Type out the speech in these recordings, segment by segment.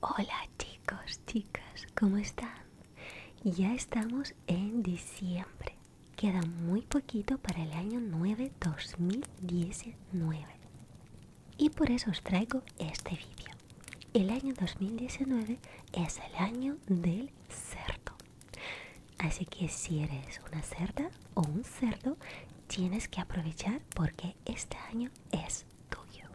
Hola chicos, chicas, ¿cómo están? Ya estamos en diciembre. Queda muy poquito para el año 9 2019. Y por eso os traigo este vídeo. El año 2019 es el año del cerdo. Así que si eres una cerda o un cerdo, tienes que aprovechar porque este año es tuyo.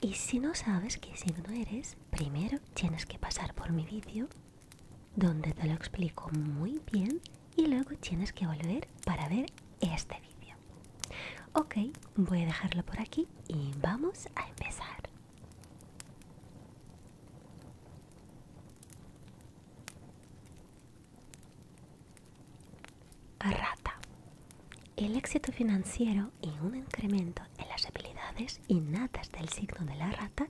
Y si no sabes si no eres, primero tienes que pasar por mi vídeo donde te lo explico muy bien y luego tienes que volver para ver este vídeo. Ok, voy a dejarlo por aquí y vamos a empezar. Rata. El éxito financiero y un incremento en las habilidades innatas del signo de la rata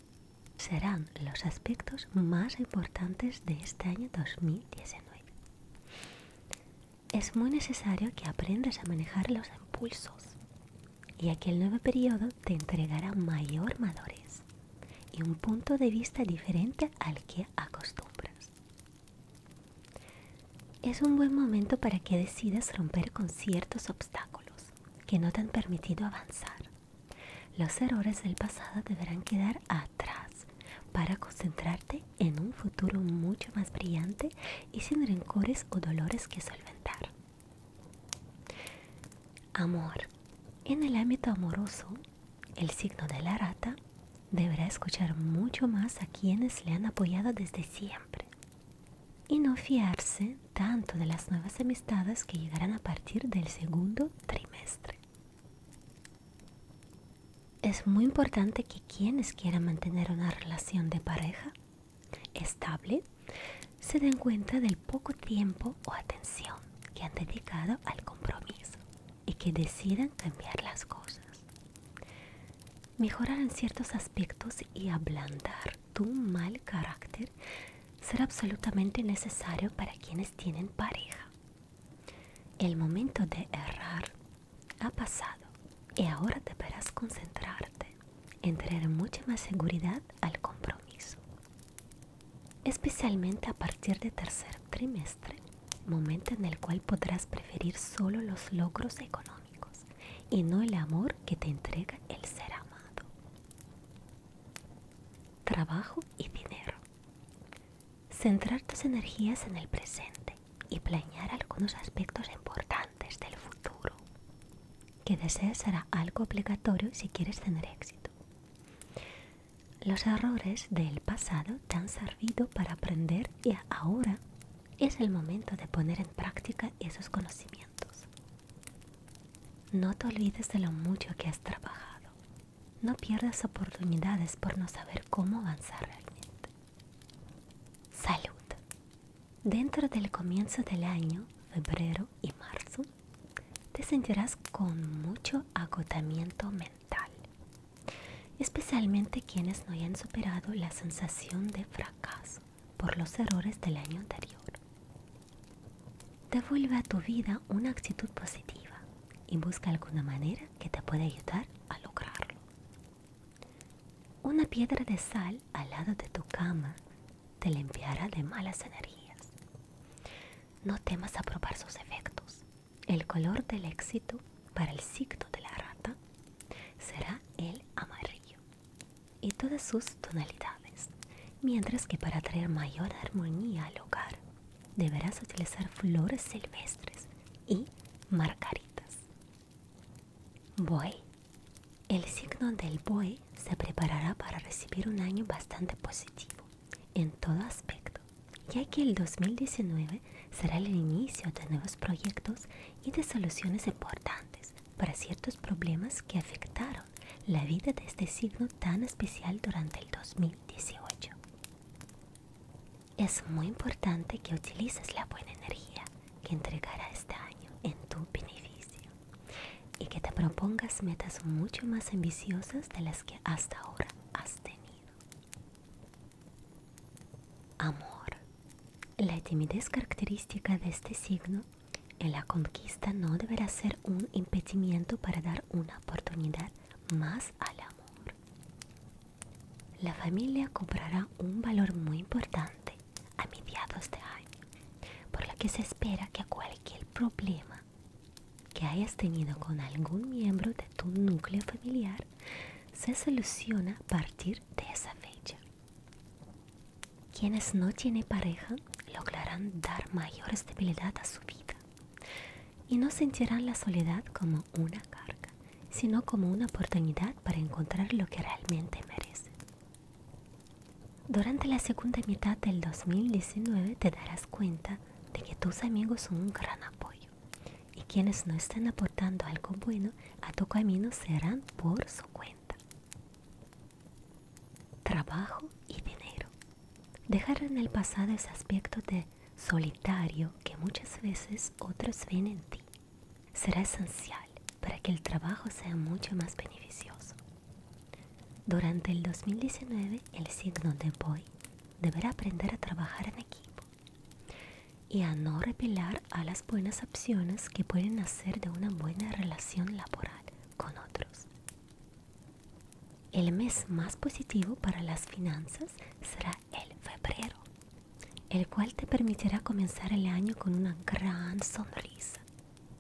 serán los aspectos más importantes de este año 2019. Es muy necesario que aprendas a manejar los impulsos, ya que el nuevo periodo te entregará mayor madurez y un punto de vista diferente al que acostumbras. Es un buen momento para que decidas romper con ciertos obstáculos que no te han permitido avanzar. Los errores del pasado deberán quedar atrás para concentrarte en un futuro mucho más brillante y sin rencores o dolores que solventar. Amor. En el ámbito amoroso, el signo de la rata deberá escuchar mucho más a quienes le han apoyado desde siempre y no fiarse tanto de las nuevas amistades que llegarán a partir del segundo trimestre. Es muy importante que quienes quieran mantener una relación de pareja estable se den cuenta del poco tiempo o atención que han dedicado al compromiso y que decidan cambiar las cosas. Mejorar en ciertos aspectos y ablandar tu mal carácter será absolutamente necesario para quienes tienen pareja. El momento de errar ha pasado y ahora deberás concentrarte en traer mucha más seguridad al compromiso especialmente a partir del tercer trimestre, momento en el cual podrás preferir solo los logros económicos y no el amor que te entrega el ser amado. Trabajo y dinero. Centrar tus energías en el presente y planear algunos aspectos importantes del futuro que desees será algo obligatorio si quieres tener éxito. Los errores del pasado te han servido para aprender y ahora es el momento de poner en práctica esos conocimientos. No te olvides de lo mucho que has trabajado. No pierdas oportunidades por no saber cómo avanzar realmente. Salud. Dentro del comienzo del año, febrero y marzo, te sentirás con mucho agotamiento mental, especialmente quienes no hayan superado la sensación de fracaso por los errores del año anterior. Devuelve a tu vida una actitud positiva y busca alguna manera que te pueda ayudar a lograrlo. Una piedra de sal al lado de tu cama te limpiará de malas energías. No temas a probar sus efectos. El color del éxito para el ciclo de la rata será el amarillo y todas sus tonalidades, mientras que para traer mayor armonía al hogar deberás utilizar flores silvestres y margaritas. Voy el signo del BOE se preparará para recibir un año bastante positivo en todo aspecto, ya que el 2019 será el inicio de nuevos proyectos y de soluciones importantes para ciertos problemas que afectaron la vida de este signo tan especial durante el 2018. Es muy importante que utilices la buena energía que entregará este año en tu beneficio y que te propongas metas mucho más ambiciosas de las que hasta ahora has tenido. Amor. La timidez característica de este signo en la conquista no deberá ser un impedimento para dar una oportunidad más al amor. La familia cobrará un valor muy importante a mediados de año, por lo que se espera que cualquier problema que hayas tenido con algún miembro de tu núcleo familiar se soluciona a partir de esa fecha. Quienes no tienen pareja lograrán dar mayor estabilidad a su vida y no sentirán la soledad como una carga, sino como una oportunidad para encontrar lo que realmente merecen. Durante la segunda mitad del 2019 te darás cuenta de que tus amigos son un gran apoyo y quienes no están aportando algo bueno a tu camino serán por su cuenta. Trabajo y dinero. Dejar en el pasado ese aspecto de solitario que muchas veces otros ven en ti será esencial para que el trabajo sea mucho más beneficioso. Durante el 2019, el signo de Boy deberá aprender a trabajar en equipo y a no repelar a las buenas opciones que pueden hacer de una buena relación laboral con otros. El mes más positivo para las finanzas será el febrero, el cual te permitirá comenzar el año con una gran sonrisa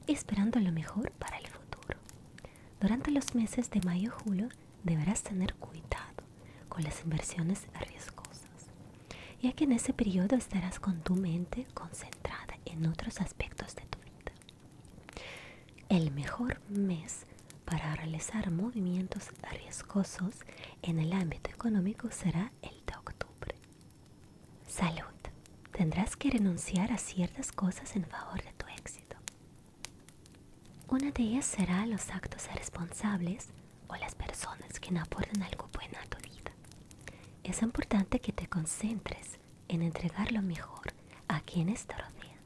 esperando lo mejor para el futuro. Durante los meses de mayo y julio deberás tener cuidado con las inversiones riesgosas, ya que en ese periodo estarás con tu mente concentrada en otros aspectos de tu vida. El mejor mes para realizar movimientos riesgosos en el ámbito económico será el de octubre. Salud. Tendrás que renunciar a ciertas cosas en favor de tu éxito. Una de ellas será los actos irresponsables o las personas que no aportan algo bueno a tu vida. Es importante que te concentres en entregar lo mejor a quienes te rodean,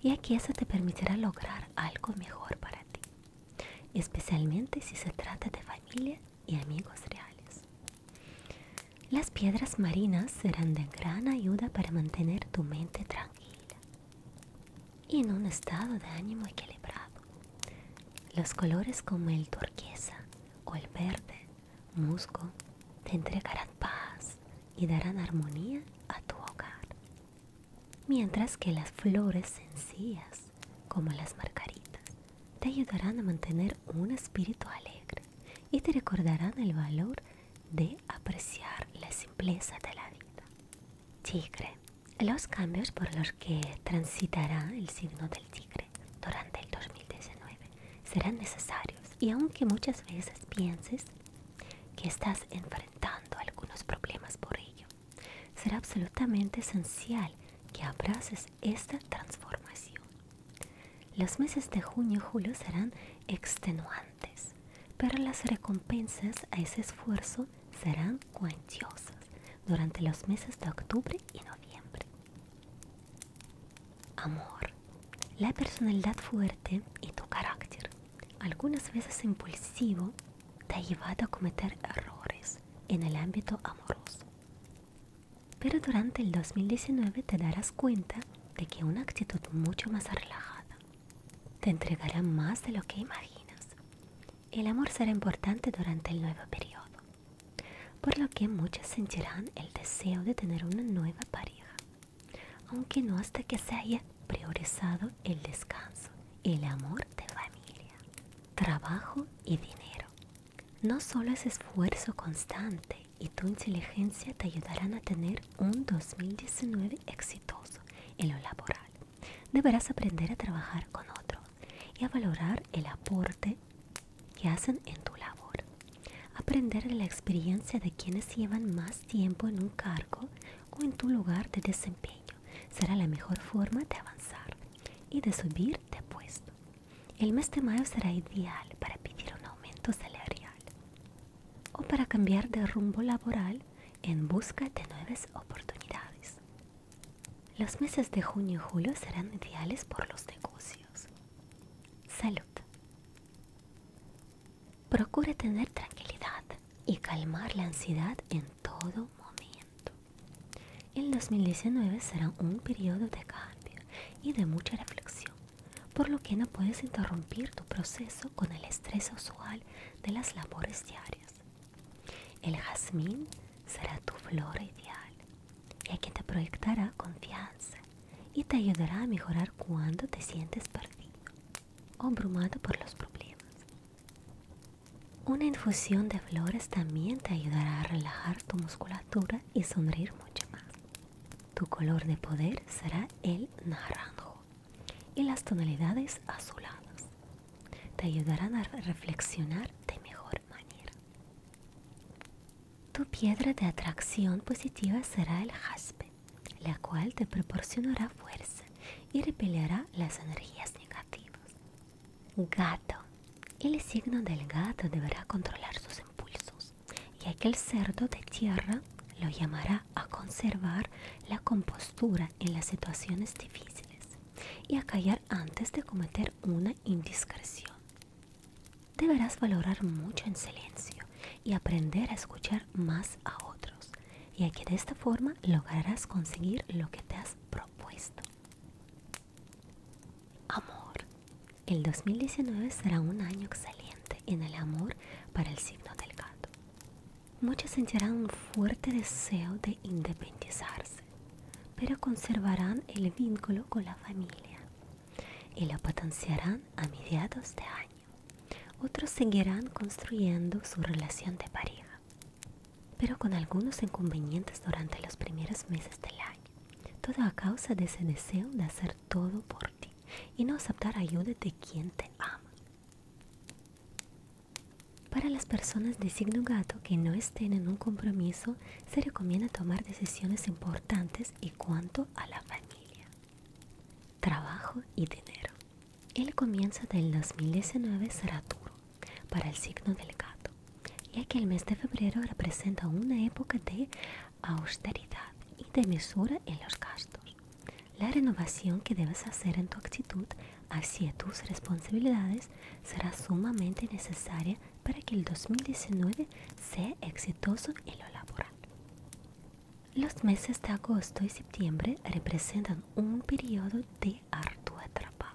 y que eso te permitirá lograr algo mejor para ti, especialmente si se trata de familia y amigos reales. Las piedras marinas serán de gran ayuda para mantener tu mente tranquila y en un estado de ánimo equilibrado. Los colores como el turquesa o el verde, musgo, te entregarán paz y darán armonía a tu hogar. Mientras que las flores sencillas, como las margaritas, te ayudarán a mantener un espíritu alegre y te recordarán el valor de apreciar la simpleza de la vida. Tigre. Los cambios por los que transitará el signo del tigre durante el 2019 serán necesarios y aunque muchas veces pienses que estás enfrentando algunos problemas por ello, será absolutamente esencial que abraces esta transformación. Los meses de junio y julio serán extenuantes, pero las recompensas a ese esfuerzo serán cuantiosas durante los meses de octubre y noviembre. Amor, la personalidad fuerte y tu carácter, algunas veces impulsivo, te ha llevado a cometer errores en el ámbito amoroso. Pero durante el 2019 te darás cuenta de que una actitud mucho más relajada te entregará más de lo que imaginas. El amor será importante durante el nuevo periodo, por lo que muchas sentirán el deseo de tener una nueva pareja, aunque no hasta que se haya priorizado el descanso, el amor de familia, trabajo y dinero. No solo es esfuerzo constante y tu inteligencia te ayudarán a tener un 2019 exitoso en lo laboral. Deberás aprender a trabajar con otros y a valorar el aporte que hacen en tu labor. Aprender de la experiencia de quienes llevan más tiempo en un cargo o en tu lugar de desempeño será la mejor forma de avanzar y de subir de puesto. El mes de mayo será ideal para pedir un aumento salarial o para cambiar de rumbo laboral en busca de nuevas oportunidades. Los meses de junio y julio serán ideales por los negocios. Salud. Procure tener tranquilidad y calmar la ansiedad en todo momento. El 2019 será un periodo de cambio y de mucha reflexión, por lo que no puedes interrumpir tu proceso con el estrés usual de las labores diarias. El jazmín será tu flor ideal, ya que te proyectará confianza y te ayudará a mejorar cuando te sientes perdido o abrumado por los problemas. Una infusión de flores también te ayudará a relajar tu musculatura y sonreír mucho más. Tu color de poder será el naranjo y las tonalidades azuladas te ayudarán a reflexionar de mejor manera. Tu piedra de atracción positiva será el jaspe, la cual te proporcionará fuerza y repelerá las energías negativas. Gato. El signo del gato deberá controlar sus impulsos, ya que el cerdo de tierra lo llamará a conservar la compostura en las situaciones difíciles y a callar antes de cometer una indiscreción. Deberás valorar mucho en silencio y aprender a escuchar más a otros, ya que de esta forma lograrás conseguir lo que te has propuesto. Amor. El 2019 será un año excelente en el amor para el signo del gato. Muchos sentirán un fuerte deseo de independizarse, pero conservarán el vínculo con la familia y lo potenciarán a mediados de año. Otros seguirán construyendo su relación de pareja pero con algunos inconvenientes durante los primeros meses del año. Todo a causa de ese deseo de hacer todo por ti y no aceptar ayuda de quien te ama. Para las personas de signo gato que no estén en un compromiso, se recomienda tomar decisiones importantes en cuanto a la familia, trabajo y dinero. El comienzo del 2019 será duro para el signo del gato, ya que el mes de febrero representa una época de austeridad y de mesura en los gastos. La renovación que debes hacer en tu actitud hacia tus responsabilidades será sumamente necesaria para que el 2019 sea exitoso en lo laboral. Los meses de agosto y septiembre representan un periodo de arduo trabajo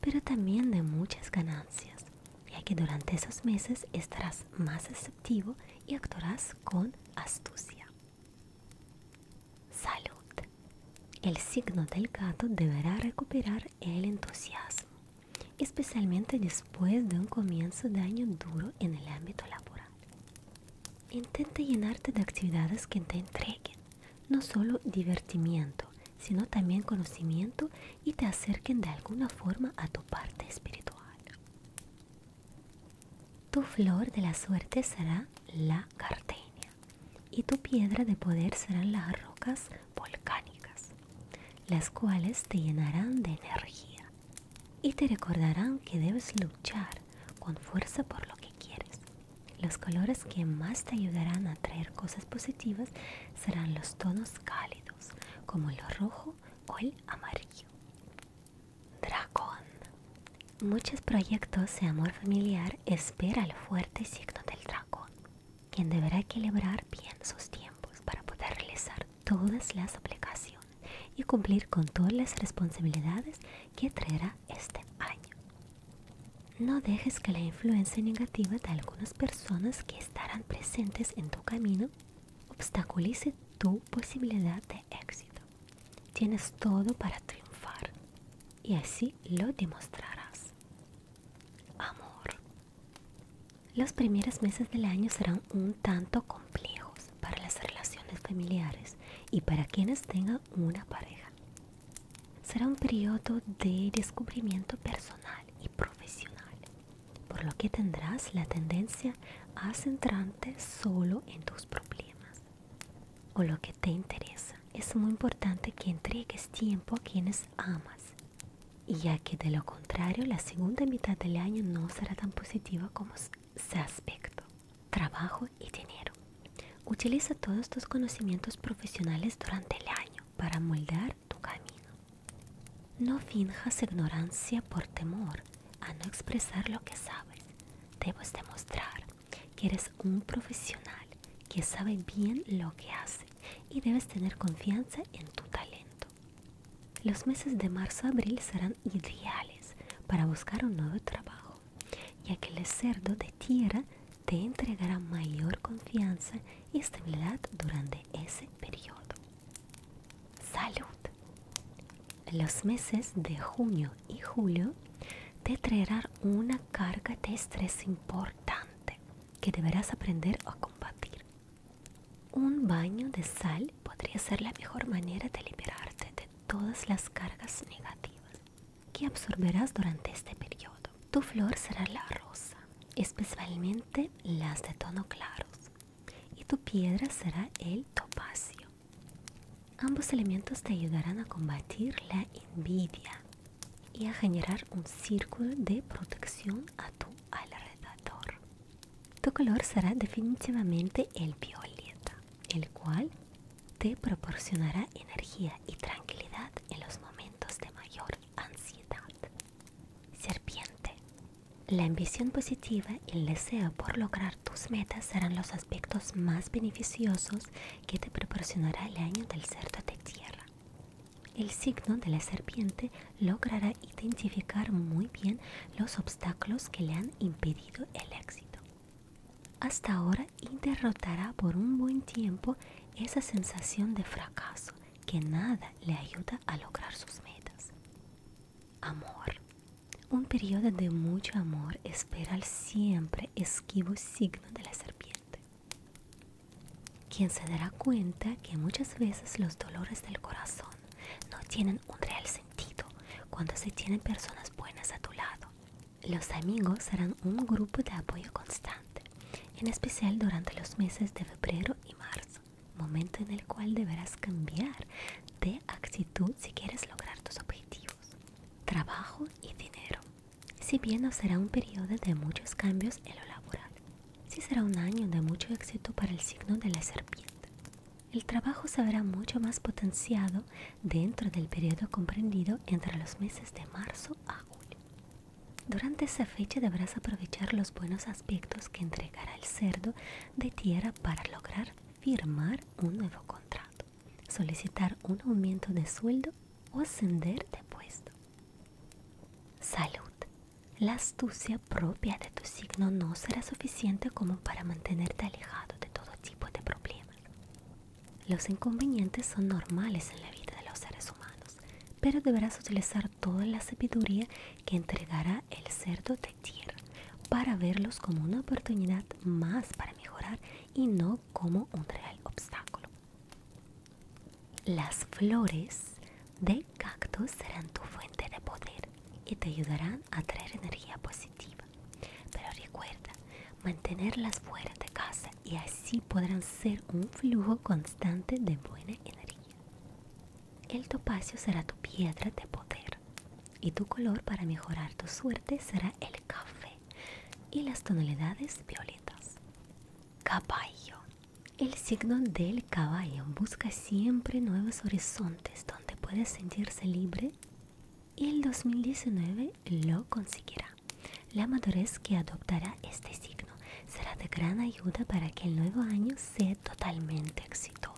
pero también de muchas ganancias, ya que durante esos meses estarás más receptivo y actuarás con astucia. Salud. El signo del gato deberá recuperar el entusiasmo, especialmente después de un comienzo de año duro en el ámbito laboral. Intenta llenarte de actividades que te entreguen no solo divertimiento, sino también conocimiento y te acerquen de alguna forma a tu parte espiritual. Tu flor de la suerte será la gardenia y tu piedra de poder serán las rocas volcánicas, las cuales te llenarán de energía y te recordarán que debes luchar con fuerza por lo que quieres los colores que más te ayudarán a traer cosas positivas serán los tonos cálidos, como el rojo o el amarillo. Dragón. Muchos proyectos de amor familiar espera el fuerte signo del dragón, quien deberá equilibrar bien sus tiempos para poder realizar todas las aplicaciones y cumplir con todas las responsabilidades que traerá este año. No dejes que la influencia negativa de algunas personas que estarán presentes en tu camino obstaculice tu posibilidad de éxito. Tienes todo para triunfar y así lo demostrarás. Amor. Los primeros meses del año serán un tanto complejos para las relaciones familiares y para quienes tengan una pareja será un periodo de descubrimiento personal y profesional, por lo que tendrás la tendencia a centrarte solo en tus problemas o lo que te interesa. Es muy importante que entregues tiempo a quienes amas, ya que de lo contrario la segunda mitad del año no será tan positiva como se aspecto. Trabajo y dinero. Utiliza todos tus conocimientos profesionales durante el año para moldear tu camino. No finjas ignorancia por temor a no expresar lo que sabes. Debes demostrar que eres un profesional que sabe bien lo que hace y debes tener confianza en tu talento. Los meses de marzo-abril serán ideales para buscar un nuevo trabajo, ya que el cerdo de tierra te entregará mayor confianza y estabilidad durante ese periodo. Salud. Los meses de junio y julio te traerán una carga de estrés importante que deberás aprender a combatir. Un baño de sal podría ser la mejor manera de liberarte de todas las cargas negativas que absorberás durante este periodo. Tu flor será la rosa, especialmente las de tono claros, y tu piedra será el topacio. Ambos elementos te ayudarán a combatir la envidia y a generar un círculo de protección a tu alrededor. Tu color será definitivamente el violeta el cual te proporcionará energía y tranquilidad en los momentos de mayor ansiedad. Serpiente. La ambición positiva y el deseo por lograr tus metas serán los aspectos más beneficiosos que te proporcionará el año del cerdo de tierra. El signo de la serpiente logrará identificar muy bien los obstáculos que le han impedido el éxito hasta ahora y por un buen tiempo esa sensación de fracaso que nada le ayuda a lograr sus metas. Amor. Un periodo de mucho amor espera al siempre esquivo signo de la serpiente. Quien se dará cuenta que muchas veces los dolores del corazón no tienen un real sentido cuando se tienen personas buenas a tu lado los amigos serán un grupo de apoyo constante, en especial durante los meses de febrero y marzo, momento en el cual deberás cambiar de actitud si quieres lograr tus objetivos, trabajo y dinero. Si bien no será un periodo de muchos cambios en lo laboral, sí será un año de mucho éxito para el signo de la serpiente. El trabajo se verá mucho más potenciado dentro del periodo comprendido entre los meses de marzo a julio. Durante esa fecha deberás aprovechar los buenos aspectos que entregará el cerdo de tierra para lograr firmar un nuevo contrato, solicitar un aumento de sueldo o ascender de puesto. Salud. La astucia propia de tu signo no será suficiente como para mantenerte alejado de todo tipo de problemas. Los inconvenientes son normales en la vida de los seres humanos, pero deberás utilizar toda la sabiduría que entregará el cerdo de tierra para verlos como una oportunidad más para mejorar y no como un real obstáculo. Las flores de cactus serán tu fuente de poder y te ayudarán a traer energía positiva. Pero recuerda mantenerlas fuera de casa y así podrán ser un flujo constante de buena energía. El topacio será tu piedra de poder y tu color para mejorar tu suerte será el café y las tonalidades violetas. Caballo. El signo del caballo busca siempre nuevos horizontes donde puedes sentirse libre y el 2019 lo conseguirá. La madurez que adoptará este signo será de gran ayuda para que el nuevo año sea totalmente exitoso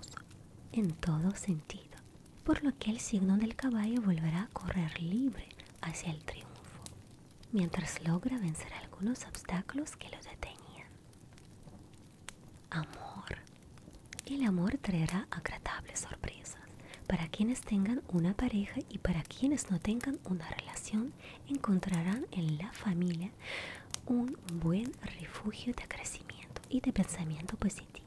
en todo sentido, por lo que el signo del caballo volverá a correr libre hacia el triunfo, mientras logra vencer algunos obstáculos que lo detenían. Amor. El amor traerá agradables sorpresas para quienes tengan una pareja y para quienes no tengan una relación encontrarán en la familia un buen refugio de crecimiento y de pensamiento positivo.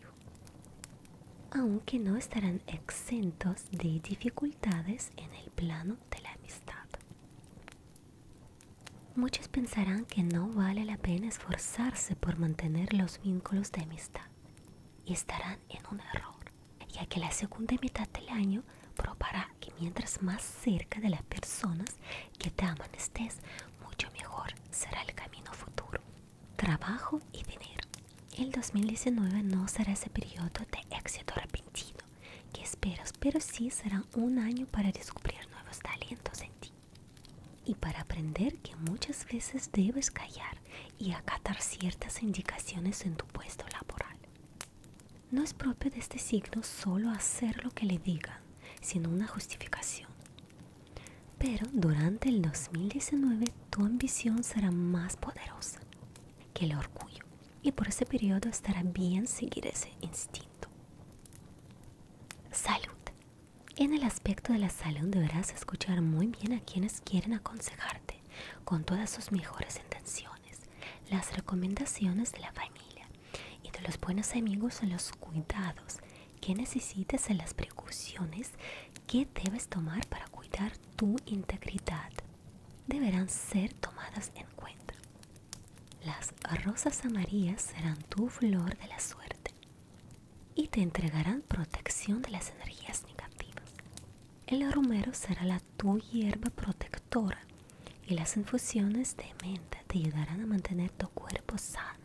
Aunque no estarán exentos de dificultades en el plano de la amistad. Muchos pensarán que no vale la pena esforzarse por mantener los vínculos de amistad estarán en un error, ya que la segunda mitad del año probará que mientras más cerca de las personas que te aman estés, mucho mejor será el camino futuro. Trabajo y dinero. El 2019 no será ese periodo de éxito repentino que esperas, pero sí será un año para descubrir nuevos talentos en ti y para aprender que muchas veces debes callar y acatar ciertas indicaciones en tu puesto laboral. No es propio de este signo solo hacer lo que le digan, sino una justificación. Pero durante el 2019 tu ambición será más poderosa que el orgullo y por ese periodo estará bien seguir ese instinto. Salud. En el aspecto de la salud deberás escuchar muy bien a quienes quieren aconsejarte con todas sus mejores intenciones, las recomendaciones de la familia y de los buenos amigos en los cuidados que necesites en las precauciones que debes tomar para cuidar tu integridad. Deberán ser tomadas en cuenta. Las rosas amarillas serán tu flor de la suerte y te entregarán protección de las energías negativas. El romero será la tu hierba protectora y las infusiones de menta te ayudarán a mantener tu cuerpo sano.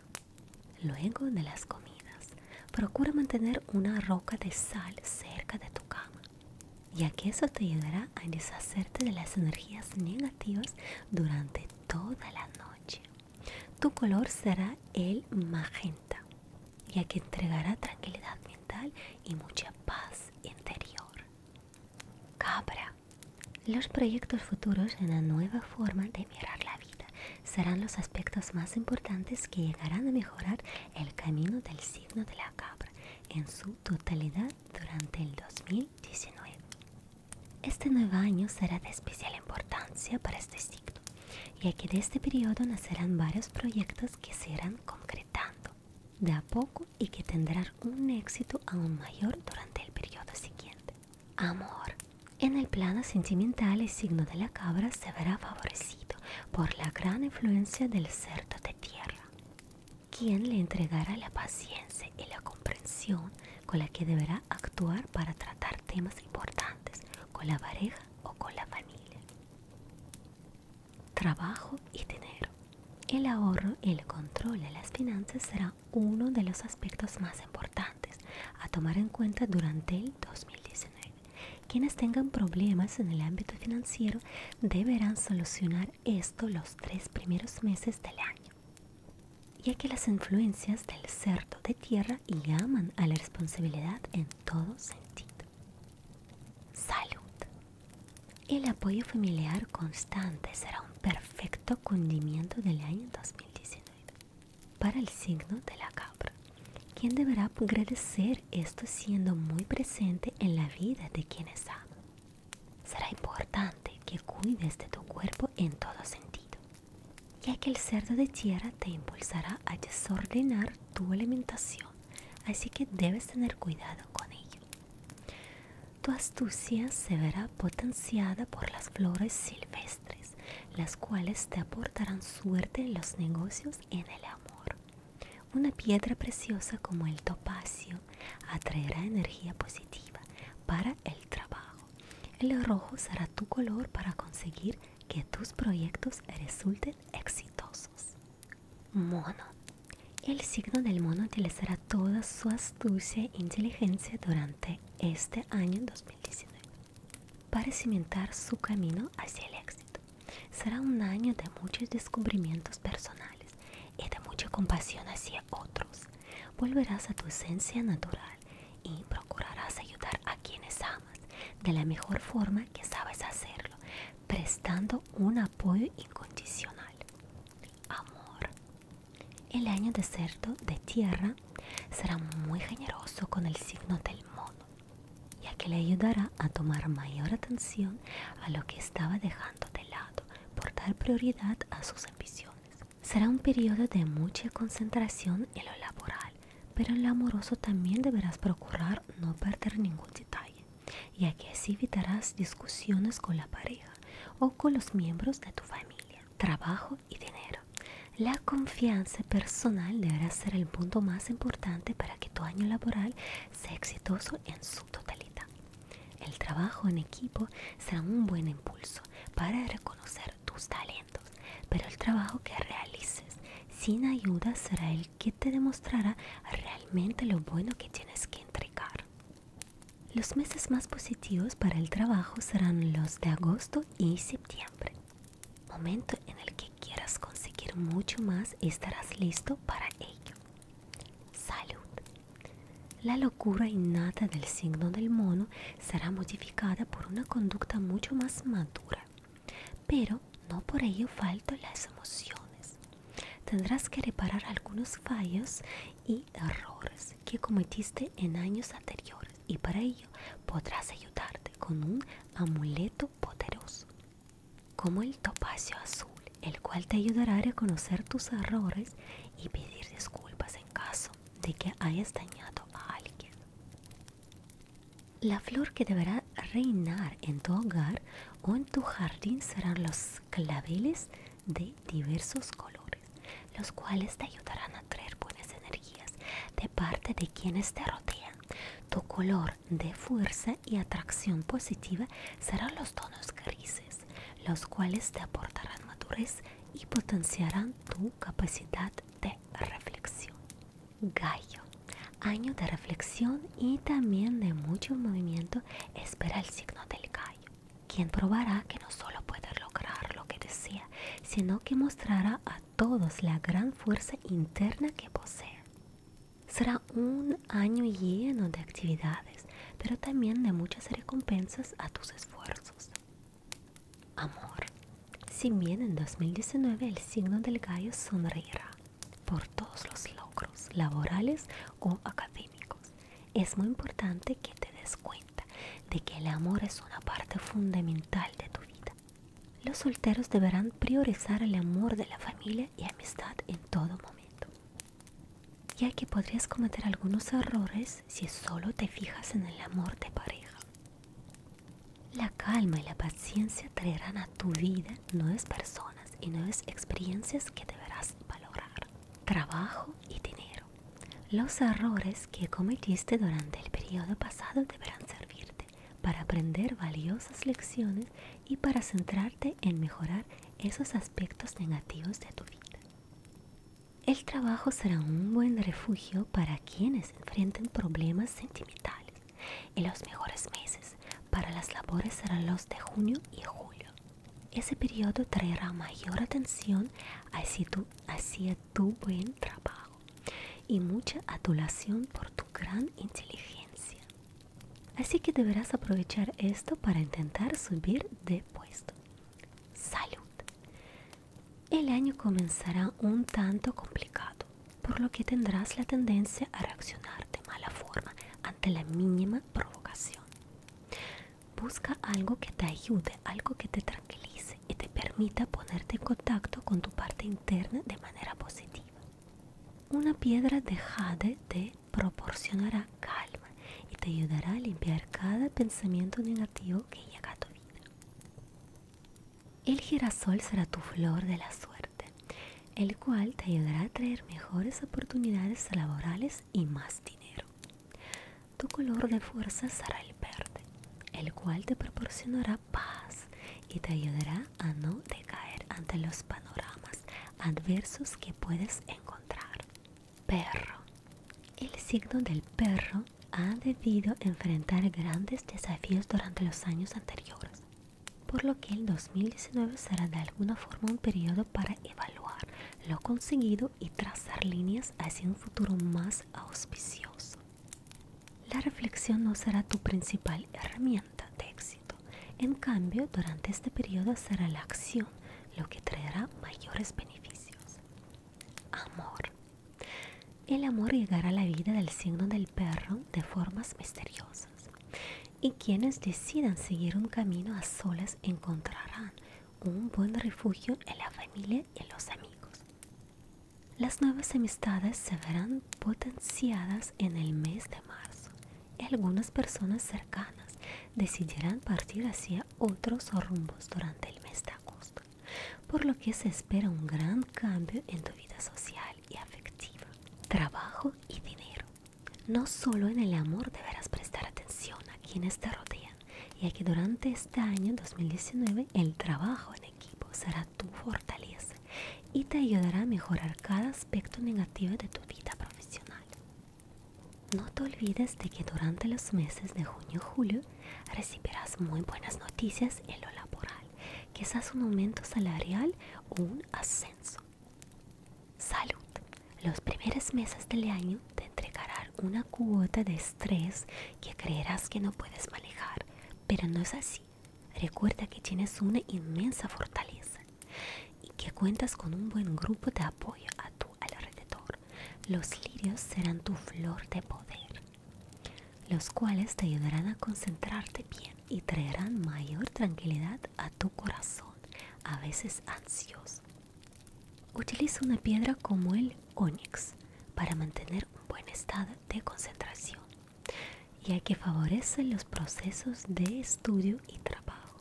Luego de las comidas, procura mantener una roca de sal cerca de tu cama, ya que eso te ayudará a deshacerte de las energías negativas durante toda la noche. Tu color será el magenta, ya que entregará tranquilidad mental y mucha paz interior. Cabra. Los proyectos futuros en la nueva forma de mirar la vida serán los aspectos más importantes que llegarán a mejorar el camino del signo de la cabra en su totalidad durante el 2019. Este nuevo año será de especial importancia para este signo, ya que de este periodo nacerán varios proyectos que se irán concretando de a poco y que tendrán un éxito aún mayor durante el periodo siguiente. Amor. En el plano sentimental el signo de la cabra se verá favorecido por la gran influencia del cerdo de tierra, quien le entregará la paciencia y la comprensión con la que deberá actuar para tratar temas importantes con la pareja o con la familia. Trabajo y dinero. El ahorro y el control de las finanzas será uno de los aspectos más importantes a tomar en cuenta durante el 2019. Quienes tengan problemas en el ámbito financiero deberán solucionar esto los tres primeros meses del año ya que las influencias del cerdo de tierra llaman a la responsabilidad en todo sentido. Salud. El apoyo familiar constante será un perfecto condimiento del año 2019 para el signo de la cabra, quien deberá agradecer esto siendo muy presente en la vida de quienes aman. Será importante que cuides de tu cuerpo en todo sentido, ya que el cerdo de tierra te impulsará a desordenar tu alimentación, así que debes tener cuidado con ello. Tu astucia se verá potenciada por las flores silvestres, las cuales te aportarán suerte en los negocios y en el amor. Una piedra preciosa como el topacio atraerá energía positiva para el trabajo. El rojo será tu color para conseguir que tus proyectos resulten exitosos. Mono. El signo del mono utilizará toda su astucia e inteligencia durante este año 2019 para cimentar su camino hacia el éxito. Será un año de muchos descubrimientos personales y de mucha compasión hacia otros. Volverás a tu esencia natural y procurarás ayudar a quienes amas de la mejor forma que sabes hacerlo, prestando un apoyo incondicional. Amor. El año de cerdo de tierra será muy generoso con el signo del mono, ya que le ayudará a tomar mayor atención a lo que estaba dejando de lado por dar prioridad a sus ambiciones. Será un periodo de mucha concentración en lo laboral, pero en lo amoroso también deberás procurar no perder ningún detalle, ya que así evitarás discusiones con la pareja o con los miembros de tu familia. Trabajo y dinero. La confianza personal deberá ser el punto más importante para que tu año laboral sea exitoso en su totalidad. El trabajo en equipo será un buen impulso para reconocer tus talentos pero el trabajo que realices sin ayuda será el que te demostrará realmente lo bueno que tienes que entregar. Los meses más positivos para el trabajo serán los de agosto y septiembre, momento en el que quieras conseguir mucho más estarás listo para ello. Salud. La locura innata del signo del mono será modificada por una conducta mucho más madura, pero no por ello faltan las emociones. Tendrás que reparar algunos fallos y errores que cometiste en años anteriores y para ello podrás ayudarte con un amuleto poderoso, como el topacio azul, el cual te ayudará a reconocer tus errores y pedir disculpas en caso de que hayas dañado a alguien. La flor que deberá reinar en tu hogar o en tu jardín serán los claveles de diversos colores, los cuales te ayudarán a traer buenas energías de parte de quienes te rodean. Tu color de fuerza y atracción positiva serán los tonos grises, los cuales te aportarán madurez y potenciarán tu capacidad de reflexión. Gallo. Año de reflexión y también de mucho movimiento espera el signo del gallo, quien probará que no solo puede lograr lo que desea, sino que mostrará a todos la gran fuerza interna que posee. Será un año lleno de actividades, pero también de muchas recompensas a tus esfuerzos. Amor. Si bien en 2019 el signo del gallo sonreirá por todos los logros laborales o académicos, es muy importante que te des cuenta de que el amor es una parte fundamental de tu vida. Los solteros deberán priorizar el amor de la familia y amistad en todo momento, ya que podrías cometer algunos errores si solo te fijas en el amor de pareja. La calma y la paciencia traerán a tu vida nuevas personas y nuevas experiencias que deberás valorar. Trabajo y dinero. Los errores que cometiste durante el periodo pasado deberán servirte para aprender valiosas lecciones y para centrarte en mejorar esos aspectos negativos de tu vida. El trabajo será un buen refugio para quienes enfrenten problemas sentimentales y los mejores meses para las labores serán los de junio y julio. Ese periodo traerá mayor atención hacia tu, hacia tu buen trabajo y mucha adulación por tu gran inteligencia. Así que deberás aprovechar esto para intentar subir de puesto. Salud. El año comenzará un tanto complicado, por lo que tendrás la tendencia a reaccionar de mala forma ante la mínima provocación. Busca algo que te ayude, algo que te tranquilice y te permita ponerte en contacto con tu parte interna de manera positiva. Una piedra de jade te proporcionará calma y te ayudará a limpiar cada pensamiento negativo que llega a tu vida. El girasol será tu flor de la suerte, el cual te ayudará a traer mejores oportunidades laborales y más dinero. Tu color de fuerza será el verde, el cual te proporcionará paz y te ayudará a no decaer ante los panoramas adversos que puedes encontrar. Perro. El signo del perro ha debido enfrentar grandes desafíos durante los años anteriores, por lo que el 2019 será de alguna forma un periodo para evaluar lo conseguido y trazar líneas hacia un futuro más auspicioso. La reflexión no será tu principal herramienta de éxito, en cambio durante este periodo será la acción lo que traerá mayores beneficios. Amor. El amor llegará a la vida del signo del perro de formas misteriosas. Y quienes decidan seguir un camino a solas encontrarán un buen refugio en la familia y en los amigos. Las nuevas amistades se verán potenciadas en el mes de marzo. Y algunas personas cercanas decidirán partir hacia otros rumbos durante el mes de agosto, por lo que se espera un gran cambio en tu vida social y afectiva, trabajo y dinero. No solo en el amor deberás prestar atención a quienes te rodean, ya que durante este año 2019 el trabajo en equipo será tu fortaleza y te ayudará a mejorar cada aspecto negativo de tu vida profesional. No te olvides de que durante los meses de junio y julio recibirás muy buenas noticias en lo laboral, quizás un aumento salarial o un ascenso. Salud. Los primeros meses del año te entregarán una cuota de estrés que creerás que no puedes manejar, pero no es así. Recuerda que tienes una inmensa fortaleza y que cuentas con un buen grupo de apoyo a tu alrededor los lirios serán tu flor de poder, los cuales te ayudarán a concentrarte bien y traerán mayor tranquilidad a tu corazón, a veces ansioso. Utiliza una piedra como el ónix para mantener un buen estado de concentración, ya que favorece los procesos de estudio y trabajo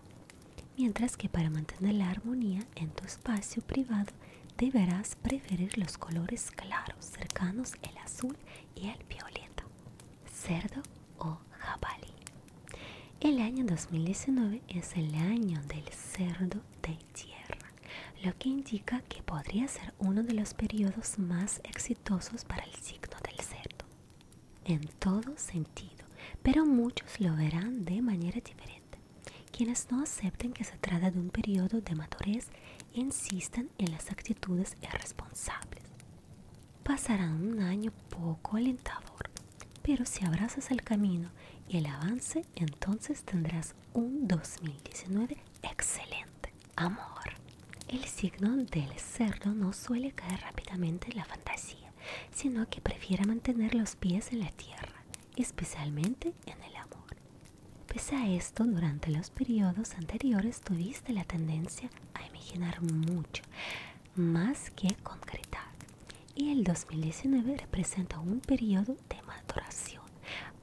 mientras que para mantener la armonía en tu espacio privado deberás preferir los colores claros cercanos el azul y el violeta, cerdo o jabalí. El año 2019 es el año del cerdo de tierra, lo que indica que podría ser uno de los periodos más exitosos para el signo del cerdo, en todo sentido, pero muchos lo verán de manera diferente. Quienes no acepten que se trata de un periodo de madurez insisten en las actitudes irresponsables. Pasará un año poco alentador, pero si abrazas el camino y el avance, entonces tendrás un 2019 excelente. Amor. El signo del cerdo no suele caer rápidamente en la fantasía sino que prefiere mantener los pies en la tierra, especialmente en el amor. Pese a esto, durante los periodos anteriores tuviste la tendencia a imaginar mucho, más que concretar. Y el 2019 representa un periodo de maduración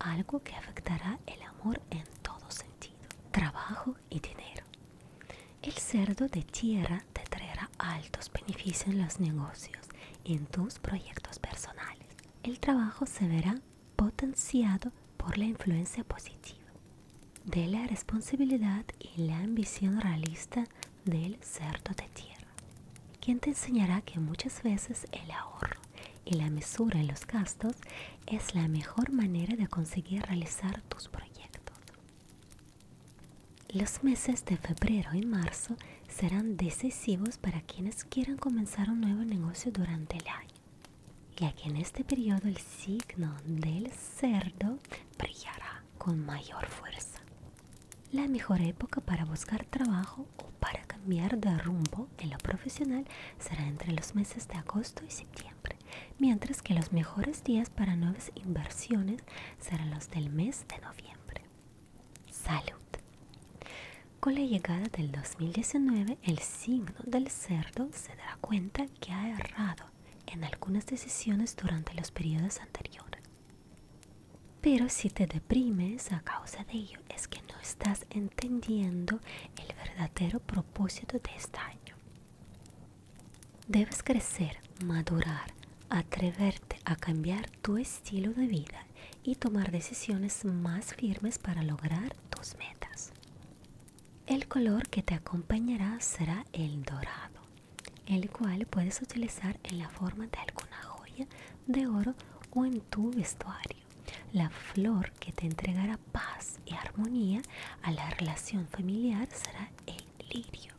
algo que afectará el amor en todo sentido, trabajo y dinero. El cerdo de tierra te traerá altos beneficios en los negocios y en tus proyectos personales. El trabajo se verá potenciado por la influencia positiva de la responsabilidad y la ambición realista del cerdo de tierra, quien te enseñará que muchas veces el ahorro y la mesura en los gastos es la mejor manera de conseguir realizar tus proyectos. Los meses de febrero y marzo serán decisivos para quienes quieran comenzar un nuevo negocio durante el año, ya que en este periodo el signo del cerdo brillará con mayor fuerza. La mejor época para buscar trabajo o para cambiar de rumbo en lo profesional será entre los meses de agosto y septiembre, mientras que los mejores días para nuevas inversiones serán los del mes de noviembre. Salud. Con la llegada del 2019, el signo del cerdo se dará cuenta que ha errado en algunas decisiones durante los periodos anteriores. Pero si te deprimes a causa de ello es que no estás entendiendo el verdadero propósito de este año. Debes crecer, madurar, atreverte a cambiar tu estilo de vida y tomar decisiones más firmes para lograr tus metas. El color que te acompañará será el dorado, el cual puedes utilizar en la forma de alguna joya de oro o en tu vestuario. La flor que te entregará paz y armonía a la relación familiar será el lirio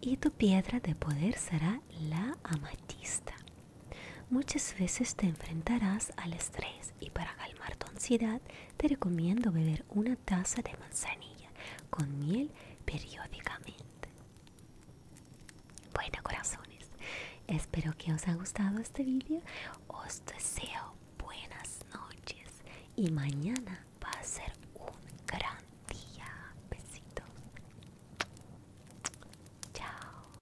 y tu piedra de poder será la amatista. Muchas veces te enfrentarás al estrés y para calmar tu ansiedad te recomiendo beber una taza de manzanilla con miel periódicamente. Bueno corazones, espero que os haya gustado este vídeo, os deseo buenas noches y mañana va a ser un gran día. Besitos. Chao.